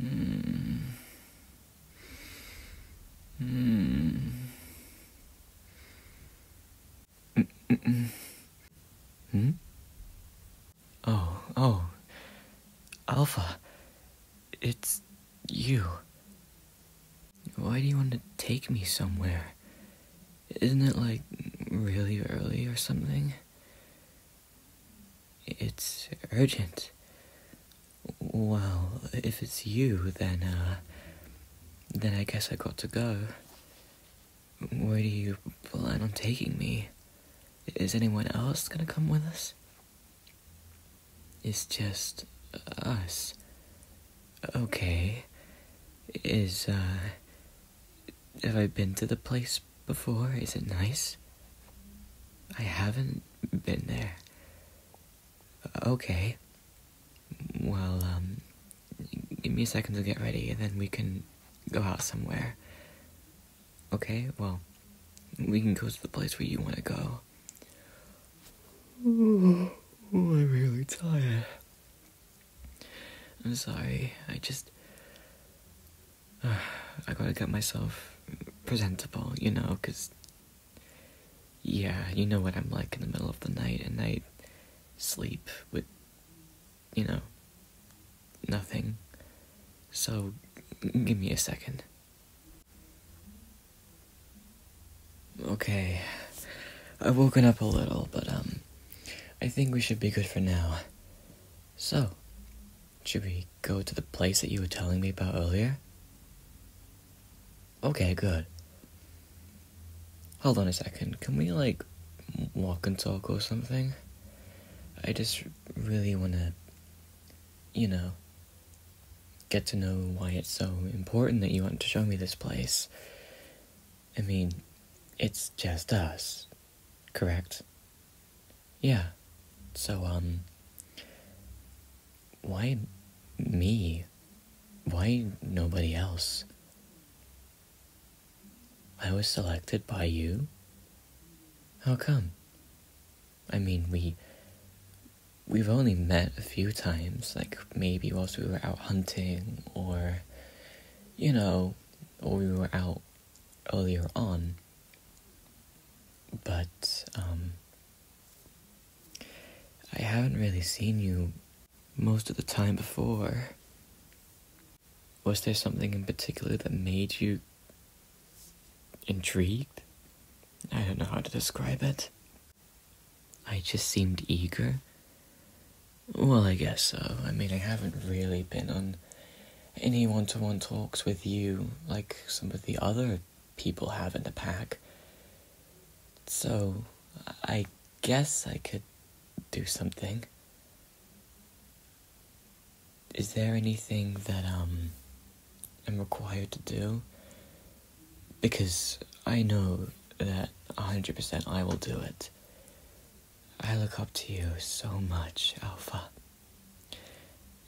Mm. Mm. Mm Hmm? Oh, oh. Alpha, it's you. Why do you want to take me somewhere? Isn't it like really early or something? It's urgent. Well, if it's you, then, uh, then I guess I got to go. Where do you plan on taking me? Is anyone else gonna come with us? It's just us. Okay. Is, uh, have I been to the place before? Is it nice? I haven't been there. Okay. Well, um, give me a second to get ready and then we can go out somewhere. Okay, well, we can go to the place where you want to go. I'm really tired. I'm sorry, I just. I gotta get myself presentable, you know, because, yeah, you know what I'm like in the middle of the night, and I sleep with, you know, nothing. So, give me a second. Okay, I've woken up a little, but, um, I think we should be good for now. So, should we go to the place that you were telling me about earlier? Okay, good. Hold on a second. Can we, like, walk and talk or something? I just really want to, you know, get to know why it's so important that you want to show me this place. I mean, it's just us. Correct. Yeah. So, um. Why me? Why nobody else? I was selected by you? How come? I mean, we. We've only met a few times, like maybe whilst we were out hunting or, you know, or we were out earlier on. But um, I haven't really seen you most of the time before. Was there something in particular that made you intrigued? I don't know how to describe it. I just seemed eager well, I guess so. I mean, I haven't really been on any one to one talks with you like some of the other people have in the pack. So, I guess I could do something. Is there anything that, um, I'm required to do? Because I know that 100% I will do it. I look up to you so much, Alpha.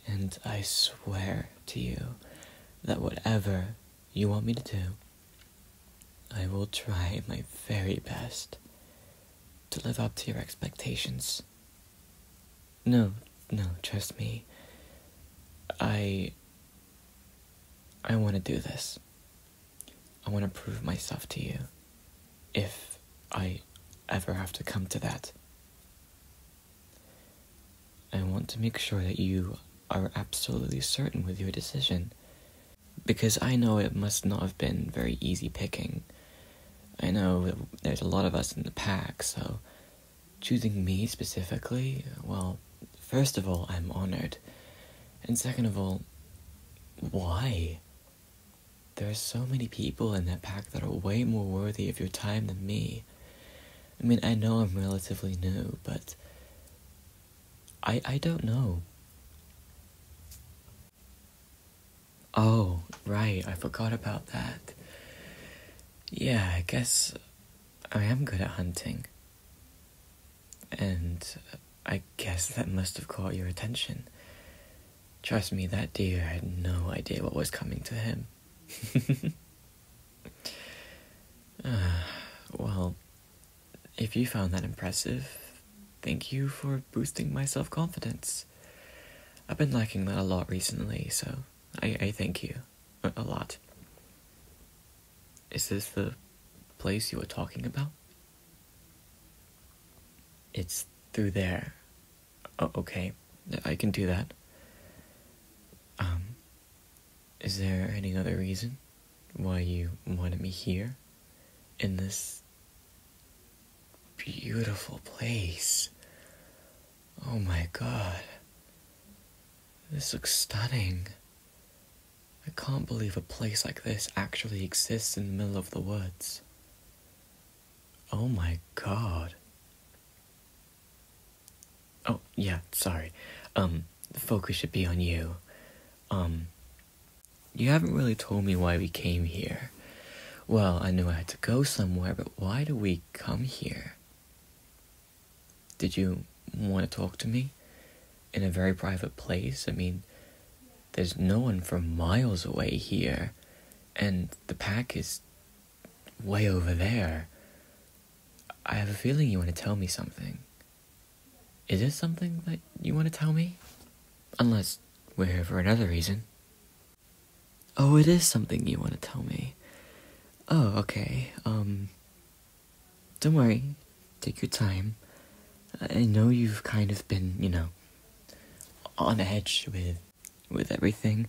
And I swear to you that whatever you want me to do, I will try my very best to live up to your expectations. No, no, trust me. I. I want to do this. I want to prove myself to you. If I ever have to come to that. I want to make sure that you are absolutely certain with your decision. Because I know it must not have been very easy picking. I know there's a lot of us in the pack, so choosing me specifically, well, first of all, I'm honored. And second of all, why? There are so many people in that pack that are way more worthy of your time than me. I mean, I know I'm relatively new, but I I don't know. Oh, right, I forgot about that. Yeah, I guess I am good at hunting. And I guess that must have caught your attention. Trust me, that deer had no idea what was coming to him. uh, well, if you found that impressive, thank you for boosting my self confidence. I've been lacking that a lot recently, so I, I thank you a lot. Is this the place you were talking about? It's through there. Oh, okay, I can do that. Um, is there any other reason why you wanted me here? In this beautiful place. Oh my god. This looks stunning. I can't believe a place like this actually exists in the middle of the woods. Oh my god. Oh, yeah, sorry. Um, the focus should be on you. Um, you haven't really told me why we came here. Well, I knew I had to go somewhere, but why do we come here? Did you want to talk to me in a very private place? I mean, there's no one for miles away here, and the pack is way over there. I have a feeling you want to tell me something. Is there something that you want to tell me? Unless we're here for another reason. Oh, it is something you want to tell me. Oh, okay. Um, don't worry, take your time. I know you've kind of been, you know, on edge with with everything.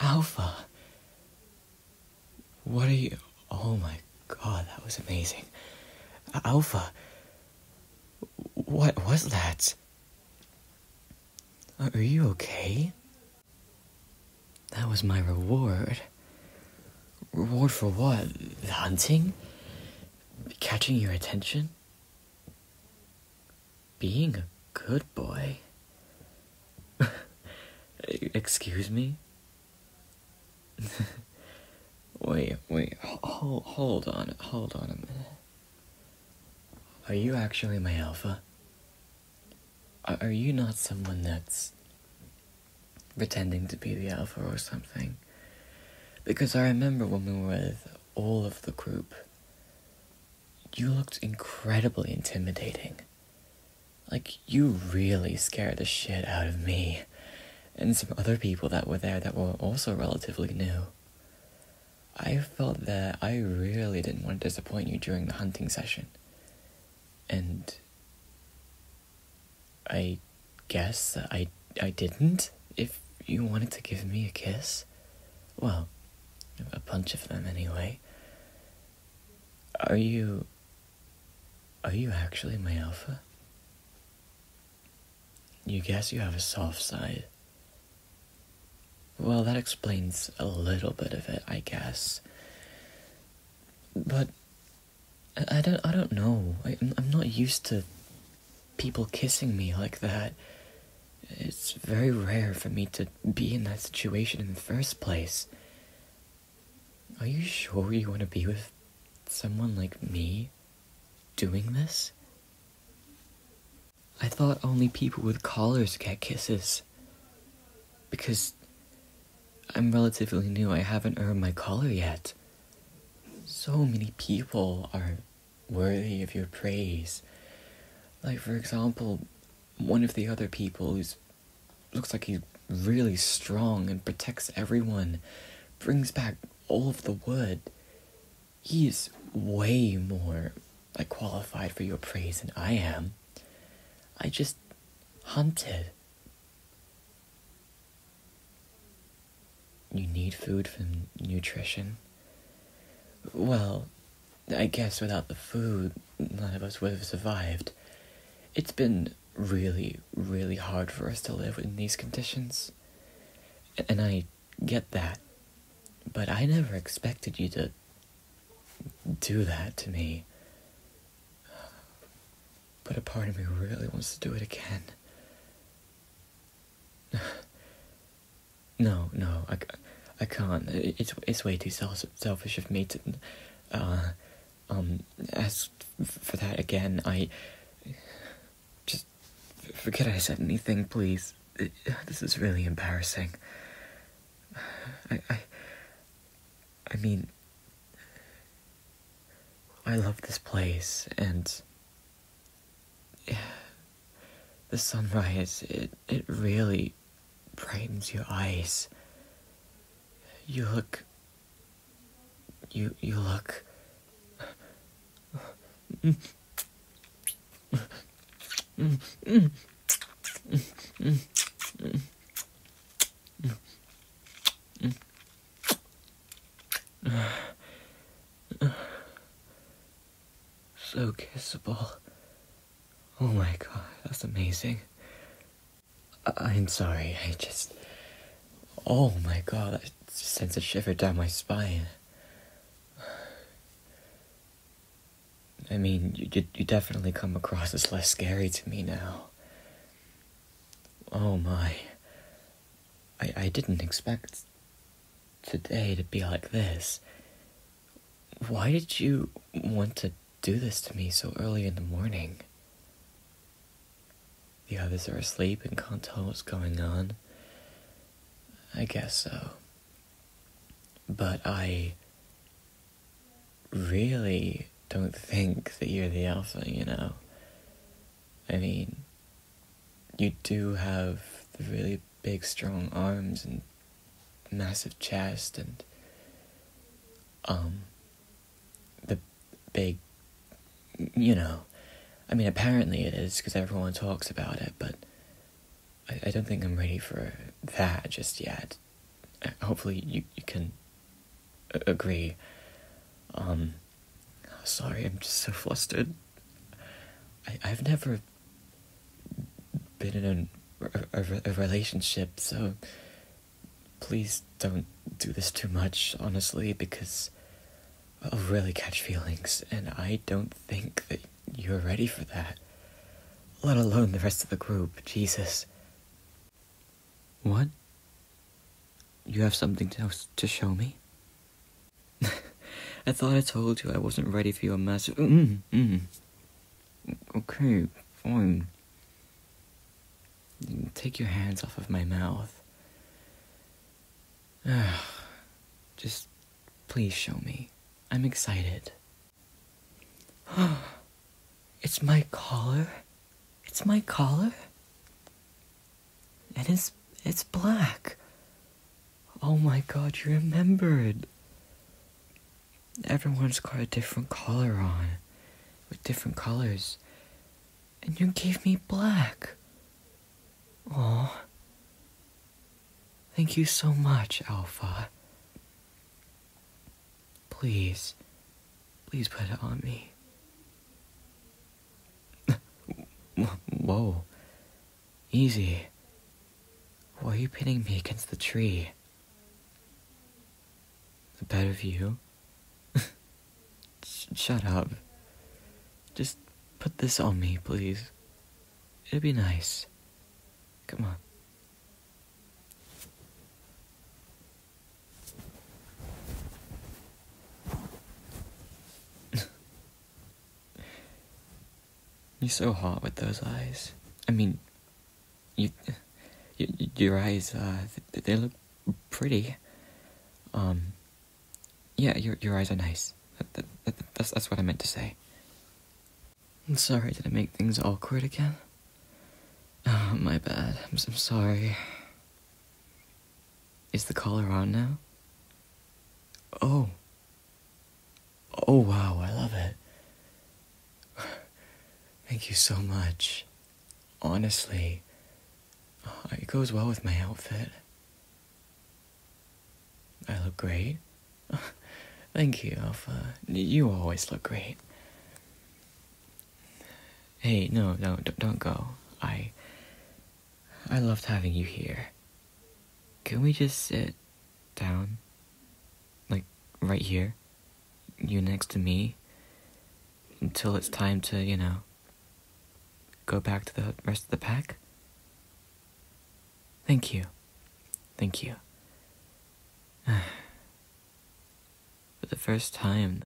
Alpha, what are you? Oh my god, that was amazing. Alpha. What was that? Are you okay? That was my reward. Reward for what? Hunting? Catching your attention? Being a good boy? Excuse me? wait, wait, hold, hold on, hold on a minute. Are you actually my alpha? Are you not someone that's pretending to be the alpha or something? Because I remember when we were with all of the group, you looked incredibly intimidating. Like, you really scared the shit out of me and some other people that were there that were also relatively new. I felt that I really didn't want to disappoint you during the hunting session. And I guess I I didn't if you wanted to give me a kiss. Well, a bunch of them anyway. Are you. Are you actually my alpha? You guess you have a soft side. Well, that explains a little bit of it, I guess. But I don't I don't know. I, am not used to people kissing me like that. It's very rare for me to be in that situation in the first place. Are you sure you want to be with someone like me doing this? I thought only people with collars get kisses. Because I'm relatively new, I haven't earned my collar yet. So many people are worthy of your praise. Like, for example, one of the other people who's looks like he's really strong and protects everyone brings back all of the wood. He's way more like qualified for your praise than I am. I just hunted. You need food for nutrition? Well, I guess without the food, none of us would have survived. It's been really, really hard for us to live in these conditions. And I get that. But I never expected you to do that to me. But a part of me really wants to do it again. No, no, I, I can't. It's it's way too self- selfish of me to, uh, um, ask for that again. I just forget I said anything, please. This is really embarrassing. I, I, I mean, I love this place, and the sunrise, it, it really brightens your eyes. You look. You, you look. So kissable. Oh my god, that's amazing. I- am sorry, I just. Oh my god, that sends a shiver down my spine. I mean, you, you definitely come across as less scary to me now. Oh my. I, I didn't expect today to be like this. Why did you want to do this to me so early in the morning? The others are asleep and can't tell what's going on. I guess so. But I really don't think that you're the alpha, you know? I mean, you do have the really big, strong arms and massive chest and um the big you know i mean apparently it is because everyone talks about it but I, don't think i'm ready for that just yet uh, hopefully you, you can agree um sorry, I'm just so flustered. I, I've never been in a, a relationship, so please don't do this too much, honestly, because I'll really catch feelings, and I don't think that you're ready for that, let alone the rest of the group. Jesus. What? You have something else to show me? I thought I told you I wasn't ready for your massive. Mm, mm. Okay, fine. Take your hands off of my mouth. Just please show me. I'm excited. it's my collar? It's my collar? And it's it's black. Oh my god, you remembered. Everyone's got a different color on with different colors. And you gave me black. Oh. Thank you so much, Alpha. Please, please put it on me. Whoa. Easy. Why are you pinning me against the tree? A better of you. shut up. Just put this on me, please. It'd be nice. Come on. You're so hot with those eyes. I mean, you, your eyes, uh, they look pretty. Um, yeah, your your eyes are nice. That, that, that's that's what I meant to say. I'm sorry, did I make things awkward again? Oh, my bad. I'm, I'm sorry. Is the collar on now? Oh. Oh, wow, I love it. Thank you so much. Honestly, uh, it goes well with my outfit. I look great. Thank you, Alpha. You always look great. Hey, no, no, don't, don't go. I. I loved having you here. Can we just sit down? Like, right here? You next to me? Until it's time to, you know, go back to the rest of the pack? Thank you. Thank you. For the first time,